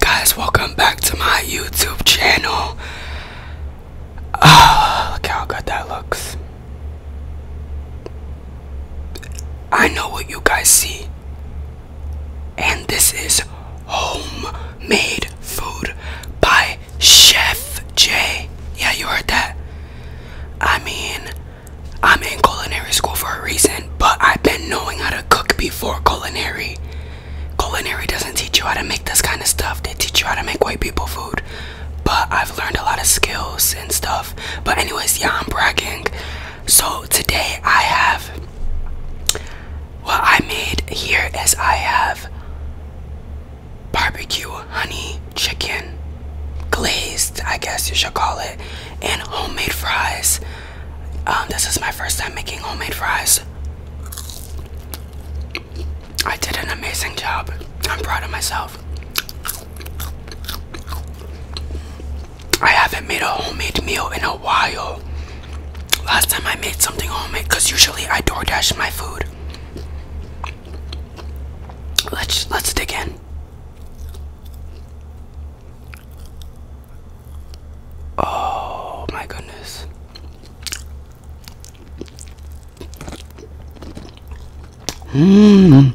guys, welcome back to my YouTube channel. Oh, look how good that looks. I know what you guys see. And this is homemade food Bye. Chef J. Yeah, you heard that. I mean, I'm in culinary school for a reason, but I've been knowing how to cook before culinary. Culinary doesn't teach you how to make this kind of stuff, they teach you how to make white people food. But I've learned a lot of skills and stuff. But, anyways, yeah, I'm bragging. So, today I have what I made here as I have barbecue honey chicken glazed i guess you should call it and homemade fries um, this is my first time making homemade fries i did an amazing job i'm proud of myself i haven't made a homemade meal in a while last time i made something homemade because usually i DoorDash my food Let's let's dig in. Oh my goodness. Mmm.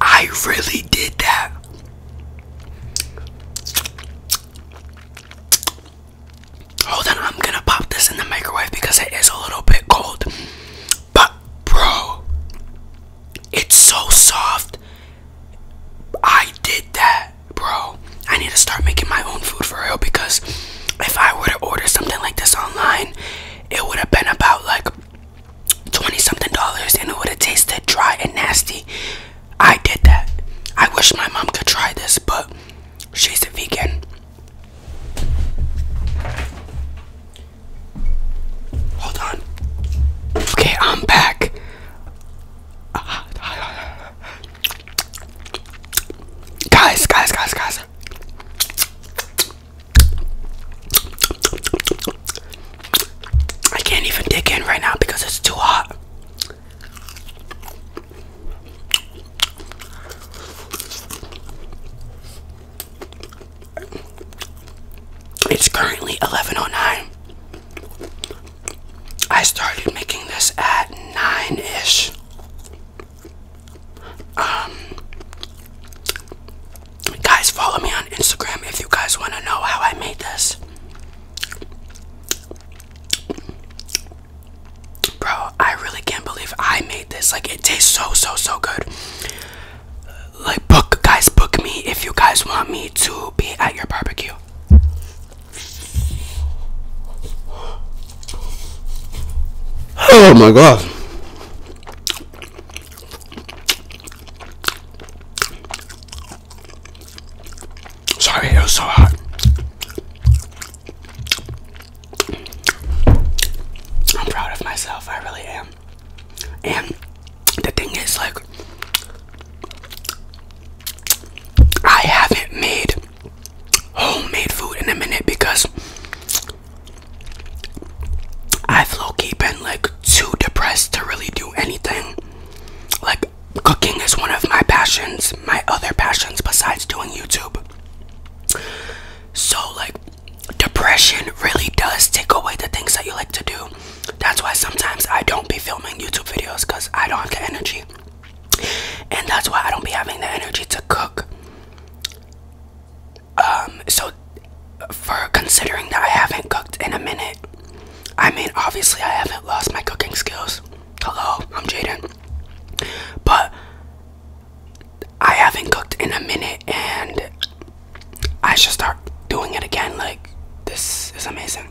I really did that. Hold on, I'm gonna pop this in the microwave because it is a little bit cold. But, bro, it's so soft. I did that bro, I need to start making my own food for real because if I were to order something like this online, it would have been about like 20 something dollars and it would have tasted dry and nasty. I did that. I wish my mom could try this, but she's a vegan. Hold on. Okay, I'm back. Guys, guys, guys, guys. I can't even dig in right now because it's too hot. It's currently 11.09. I started making this at 9 ish. Um, guys, follow me on Instagram if you guys want to know how I made this. Bro, I really can't believe I made this. Like, it tastes so, so, so good. Like, book, guys, book me if you guys want me to be at your barbecue. Oh my god. Sorry, it was so hot. I'm proud of myself, I really am. And the thing is, like, I haven't made homemade food in a minute because I've low key been like too depressed to really do anything. Like, cooking is one of my passions, my other passions besides doing YouTube. So, like, depression really does take away the things that you like to do. That's why sometimes I don't be filming YouTube videos because I don't have the energy and that's why I don't be having the energy to cook. Um, so for considering that I haven't cooked in a minute, I mean, obviously, I haven't lost my cooking skills. Hello, I'm Jaden, but I haven't cooked in a minute, and I should start doing it again. Like, this is amazing.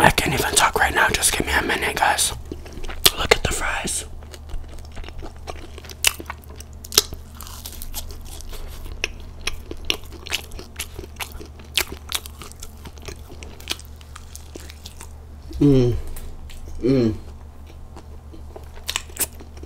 I can't even talk right now. Just give me a minute, guys. Look at the fries. Mmm. Mmm.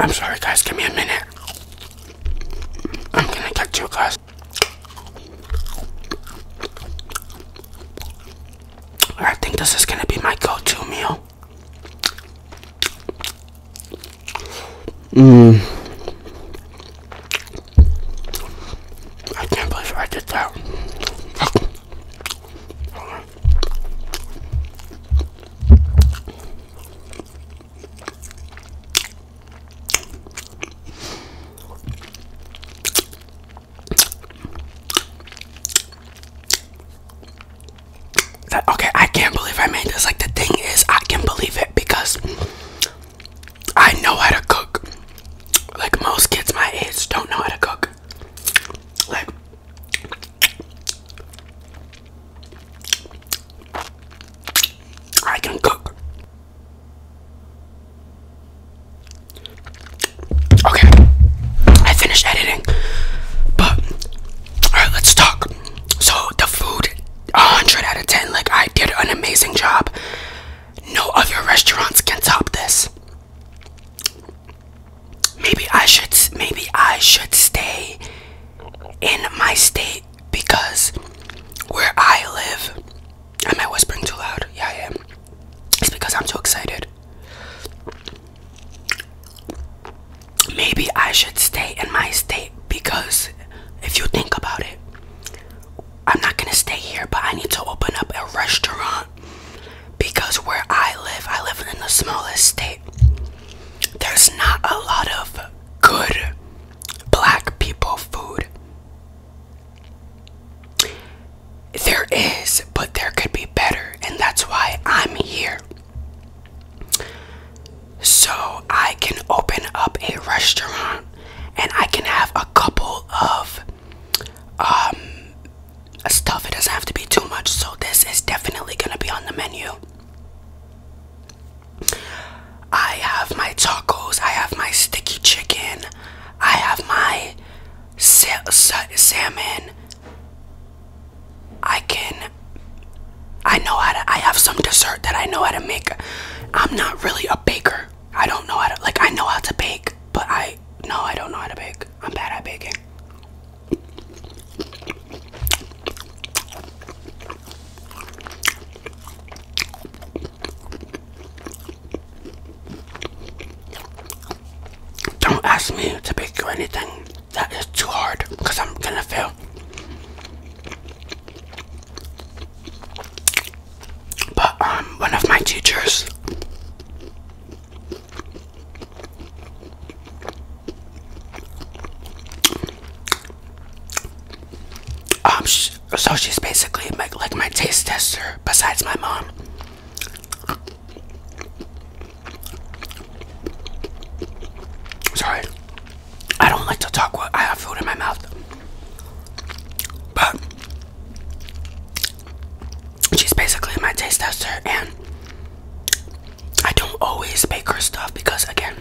I'm sorry, guys. Give me a minute. I'm gonna get you guys. I think this is gonna be my go-to meal. Mmm. I can't believe I did that. okay, I can't believe I made this. Like, the thing is, I can believe it because I know how to cook. Like most kids my age don't know how to cook. Like I can cook. Okay, I finished editing, but all right, let's talk. So the food 100 out of 10. Like, I did an amazing job. No other restaurants can top this. Maybe I should maybe I should stay in my state because where I live am I whispering too loud? Yeah I am. It's because I'm too excited. Maybe I should stay in my state because if you think about it, I'm not gonna stay here, but I need to open up a restaurant because where I live, I live in the smallest state. There's not a lot of good black people food. There is, but there could be better, and that's why I'm here so I can open up a restaurant and I can have a couple of um stuff. It doesn't have to be too much, so this is definitely gonna be on the menu. I have my tacos, I have my sticky chicken, I have my salmon. I can I know how to I have some dessert that I know how to make I'm not really a baker. I don't know how to like I know how to bake, but I no, I don't know how to bake. I'm bad at baking. Don't ask me to bake you anything that is too hard because I'm gonna fail. But um, one of my teachers um so she's basically my, like my taste tester besides my mom sorry I don't like to talk while I have food in my mouth. But she's basically my taste tester and I don't always bake her stuff because again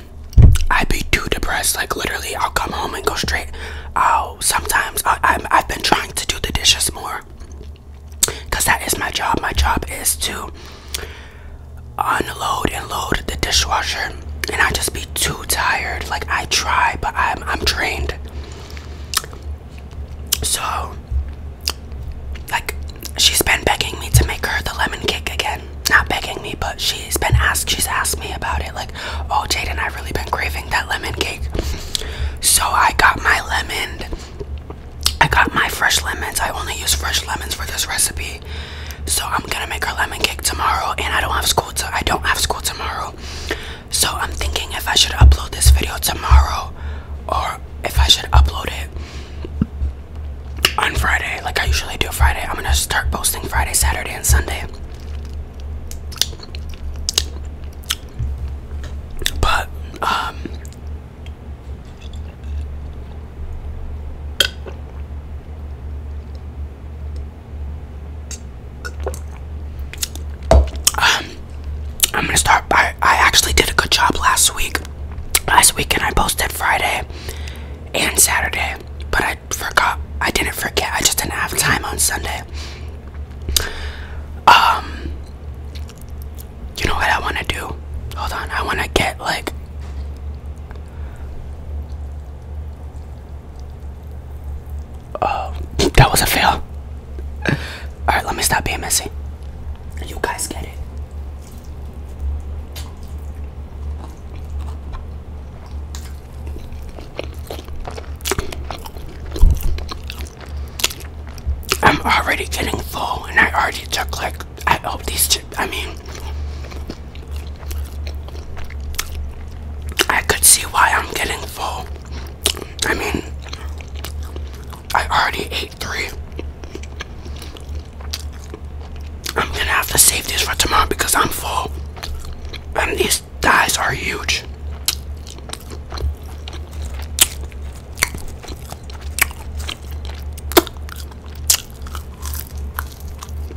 I would be too depressed like literally I'll come home and go straight I'll sometimes I've been trying to do the dishes more because that is my job my job is to unload and load the dishwasher and I just be too tired. Like I try, but I'm I'm trained. So like she's been begging me to make her the lemon cake again. Not begging me, but she's been asked she's asked me about it. Like, oh Jaden, i really been craving that lemon cake. So I got my lemon. I got my fresh lemons. I only use fresh lemons for this recipe. So I'm gonna make her lemon cake tomorrow, and I don't have school. To, I don't have school tomorrow. So I'm thinking if I should upload this video tomorrow, or if I should upload it on Friday, like I usually do Friday. I'm gonna start posting Friday, Saturday, and Sunday. But um. Um, I'm gonna start by. I actually did a good job last week. Last weekend I posted Friday and Saturday, but I forgot. I didn't forget. I just didn't have time on Sunday. Um, you know what I want to do? Hold on. I want to get like Oh, that was a fail. Alright, let me stop being messy. You guys get it. I'm already getting full, and I already took like I hope these. I mean, I could see why I'm getting full. I mean, I already ate three. I'm gonna have to save this for tomorrow because I'm full. And these thighs are huge.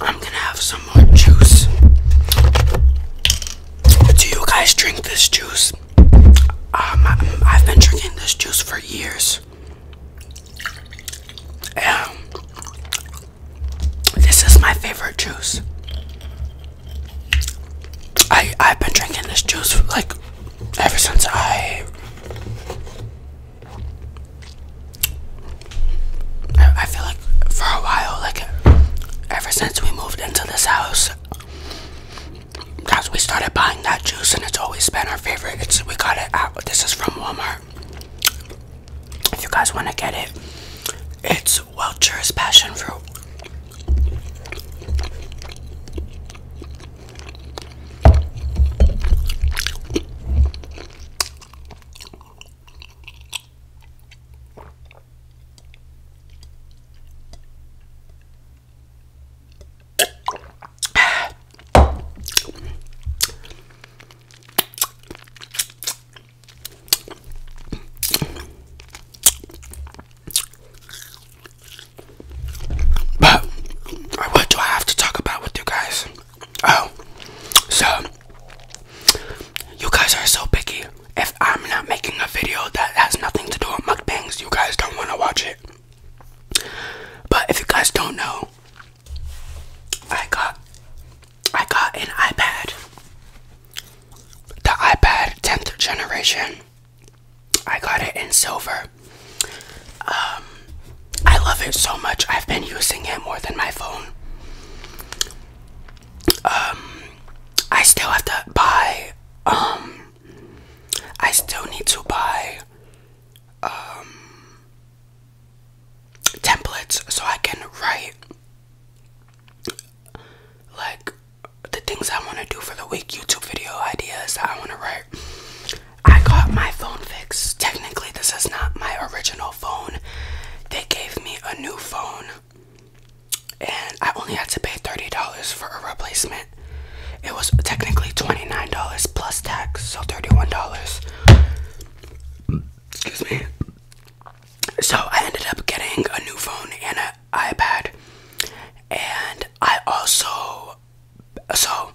I'm gonna have some more juice. Do you guys drink this juice? Um, I, have been drinking this juice for years. Um, this is my favorite juice. I I've been drinking this juice like ever since I I, feel like for a while, like ever since we moved into this house, guys, we started buying that juice, and it's always been our favorite. It's we got it out. This is from Walmart. If you guys want to get it, it's Welch's passion fruit. But what do I have to talk about with you guys? Oh, so you guys are so picky. If I'm not making a video that has nothing to do with mukbangs, you guys don't want to watch it. But if you guys don't know, I got I got an iPad. The iPad 10th generation. I got it in silver. Um I love it so much. I've been using it more than my phone um I still have to buy um I still need to buy um templates so I can write like the things I want to do for the week, YouTube video ideas that I want to write. I got my phone fixed. Technically, this is not my original phone. They gave me a new phone, and I only had to pay $30 for a replacement. It was technically $29 plus tax, so $31. Excuse me. So I ended up getting a new phone and an iPad, and I also so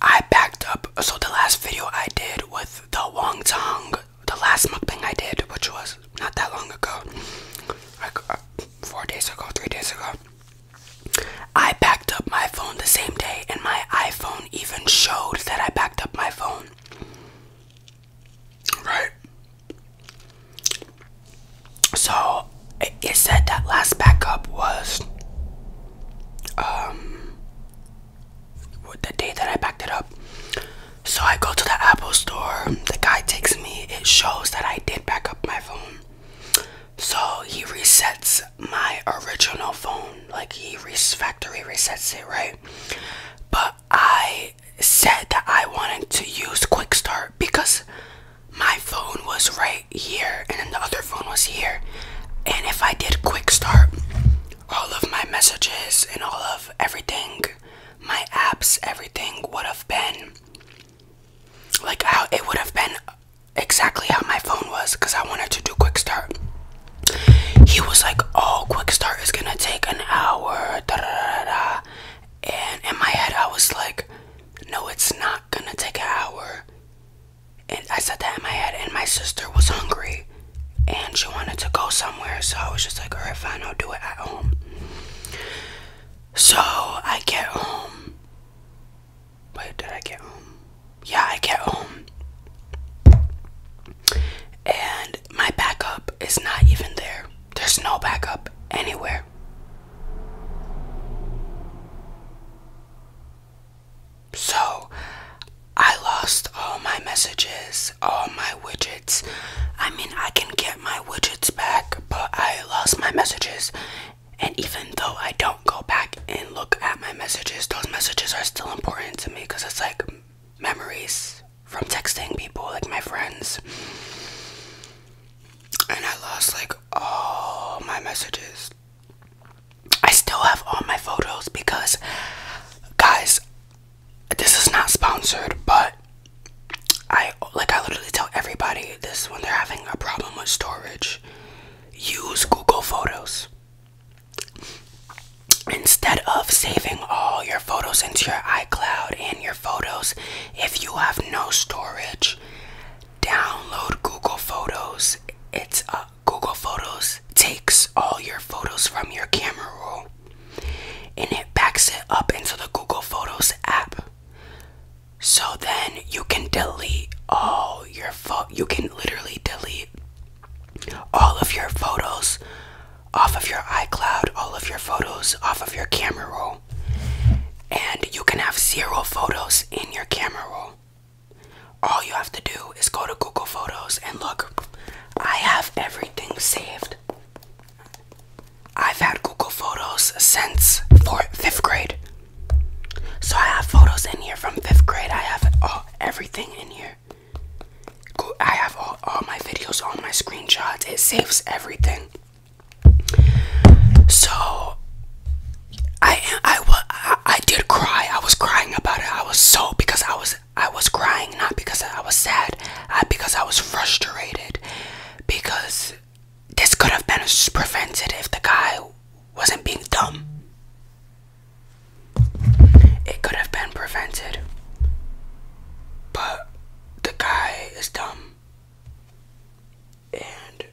I backed up. So the last video I did with the Wong Tong, the last mukbang I did, which was not that long ago, like uh, four days ago, three days ago. I backed up my phone the same day, and my iPhone even showed that I backed up my phone. Right? So it, said that last backup was um, the day that I packed it up. So I go to the Apple store. The guy takes me. It shows that I did back up my phone. So he resets my original phone. Like he factory resets it, right? But I said that I wanted to use Quick Start because my phone was right here and then the other phone was here. And if I did Quick Start, all of my messages and all of everything, my apps, everything would have been like how it would have been exactly how my phone was because I wanted to do quick start. He was like, Oh, quick start is gonna take an hour. Da, da, da, da. And in my head, I was like, No, it's not gonna take an hour and I said that in my head, and my sister was hungry and she wanted to go somewhere, so I was just like, alright, fine, I'll do it at home. So I get home. Wait, did I get home? Yeah, I get home. And my backup is not even there. There's no backup anywhere. So, I lost all my messages, all my widgets. I mean, I can get my widgets back, but I lost my messages. And even though I don't go back and look at my messages, those messages are still important to me because it's like memories from texting people, like my friends. And I lost like all my messages. I still have all my photos because, guys, this is not sponsored, but I like I literally tell everybody this when they're having a problem with storage. Use Google Photos instead of saving all your photos into your iCloud and your photos. If you have no storage, download Google Photos. It's a Google Photos takes all your photos from your camera roll and it backs it up into the Google Photos app. So then you can delete all your photo. You can literally delete all of your photos off of your iCloud, all of your photos off of your camera roll, and you can have zero photos in your camera roll. All you have to do is go to Google Photos and look. I have everything saved. I've had Google Photos since fourth, fifth grade. So I have photos in here from fifth grade. I have all, everything in here. I have all, my videos, all my screenshots. It saves everything. So I I I, did cry. I was crying about it. I was so because I was I was crying not because I was sad, I, uh, because I was frustrated because this could have been prevented if the guy wasn't being dumb. It could have been prevented. But the guy is dumb. And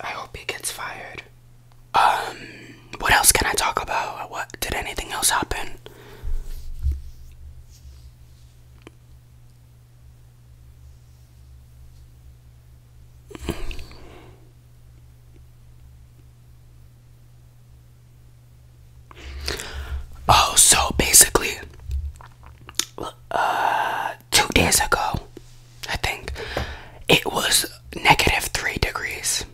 I hope he gets fired. Um, what else can I talk about? What did anything else happen? Oh, so basically, uh, two days ago, I think, it was negative three degrees.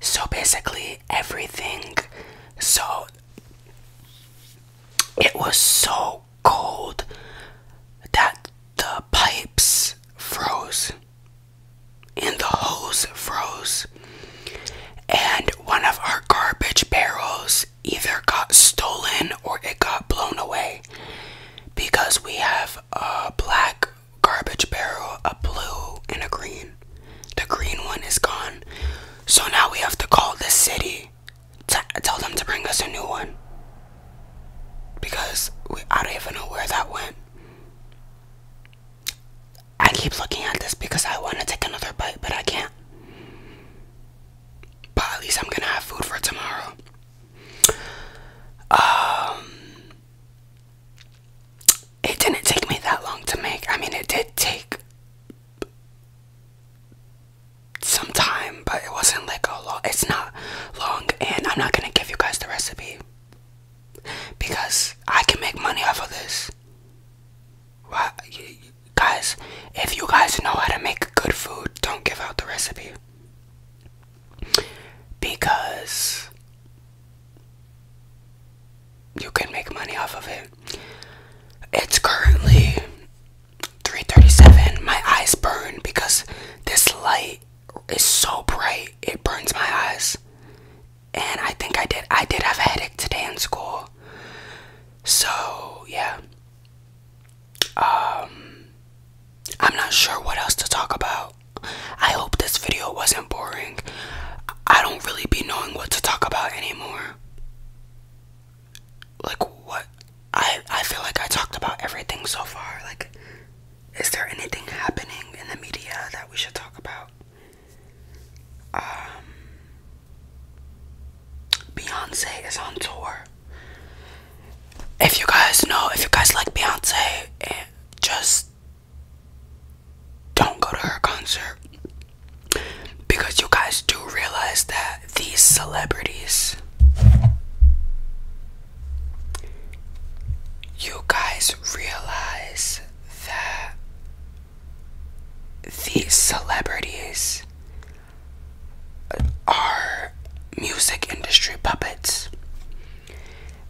So basically, everything. So it was so cold that the pipes froze and the hose froze. And one of our garbage barrels either got stolen or it got blown away. Because we have a black garbage barrel, a blue, and a green. The green one is gone. So now we have to call the city to tell them to bring us a new one. Because I don't even know where that went. I keep looking at this because I want to take another bite, but I can't. But at least I'm gonna have food for tomorrow. Um, it didn't take me that long to make. I mean, it did take some time, but it wasn't like a long. It's not long, and I'm not gonna give you guys the recipe because I can make money off of this. Why, guys, if you guys know how to make good food, don't give out the recipe because you can make money off of it. It's currently 337. My eyes burn because this light is so bright. It burns my eyes. And I think I did I did have a headache today in school. So, yeah um I'm not sure what else to talk about. I hope this video wasn't boring. I don't really be knowing what to talk about anymore. Like what I I feel like I talked about everything so far. Like is there anything happening in the media that we should talk about? Um Beyonce is on tour. If you guys know, if you guys like Beyonce, eh, just don't go to her concert because you guys do realize that these celebrities, you guys realize that these celebrities are music industry puppets.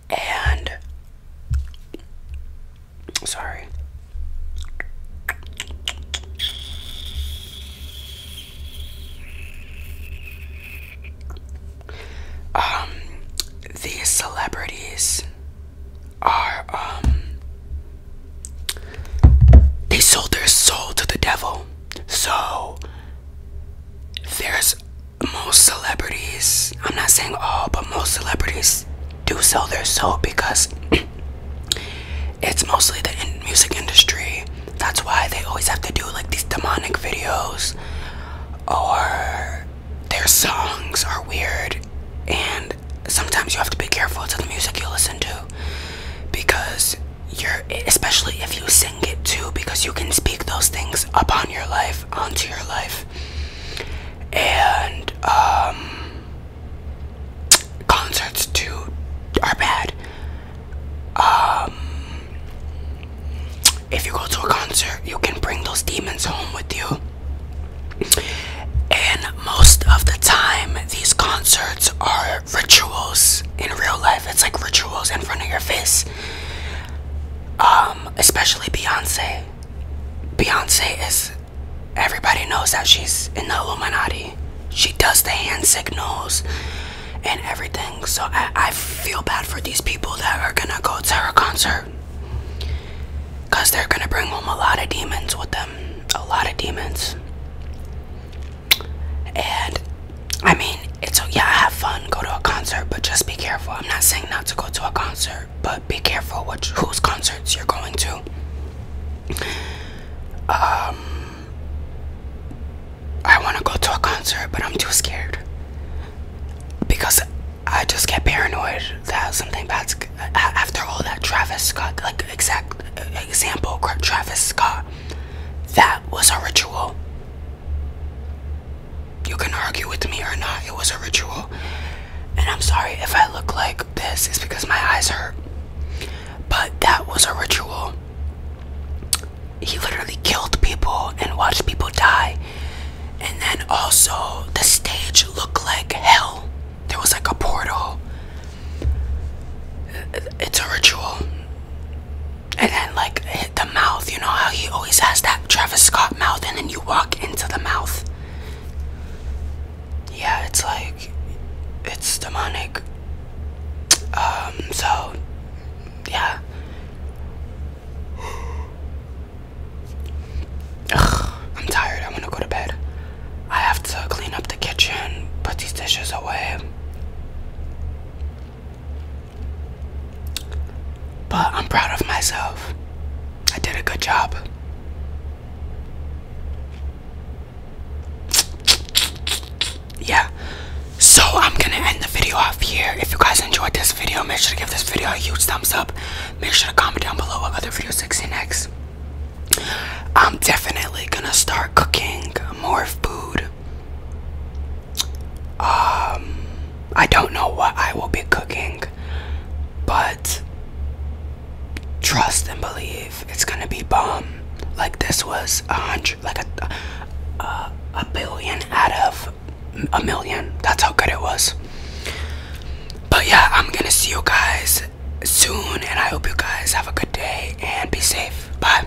And sorry. Um these celebrities are um they sold their soul to the devil. So there's most celebrities, I'm not saying all, but most celebrities do sell their soul because it's mostly the music industry. That's why they always have to do like these demonic videos or their songs are weird and sometimes you have to be careful to the music you listen to because you especially if you sing it too because you can speak those things upon your life onto your life and um concerts too are bad um if you go to a concert you can bring those demons home with you and most of the time these concerts are rituals in real life it's like rituals in front of your face um, especially Beyonce. Beyonce is everybody knows that she's in the Illuminati. She does the hand signals and everything. So I, I feel bad for these people that are gonna go to her concert. Cause they're gonna bring home a lot of demons with them. A lot of demons. And I mean, it's yeah, have fun, go to a concert, but just be careful. I'm not saying not to go to a concert, but be careful which whose concerts you're going to. Um, I want to go to a concert, but I'm too scared because I just get paranoid that something bad. after all that Travis Scott, like exact example, Travis Scott, that was a ritual. You can argue with me or not, it was a ritual. And I'm sorry if I look like this, it's because my eyes hurt. But that was a ritual. He literally killed people and watched people die. And then also, the stage looked like hell. There was like a portal. It's a ritual and then like hit the mouth. You know how he always has that Travis Scott mouth, and then you walk into the mouth. Yeah, it's like it's demonic. Um, so yeah. I'm tired. I want to go to bed. I have to clean up the kitchen, put these dishes away. But I'm proud of myself. I did a good job. Yeah. So I'm gonna end the video off here. If you guys enjoyed this video, make sure to give this video a huge thumbs up. Make sure to comment down below what other videos to see next. I'm definitely gonna start cooking more food. Um, I don't know what I will be cooking, but trust and believe it's gonna be bomb. Like this was a hundred, like a, a a billion out of a million. That's how good it was. But yeah, I'm gonna see you guys soon, and I hope you guys have a good day and be safe. Bye.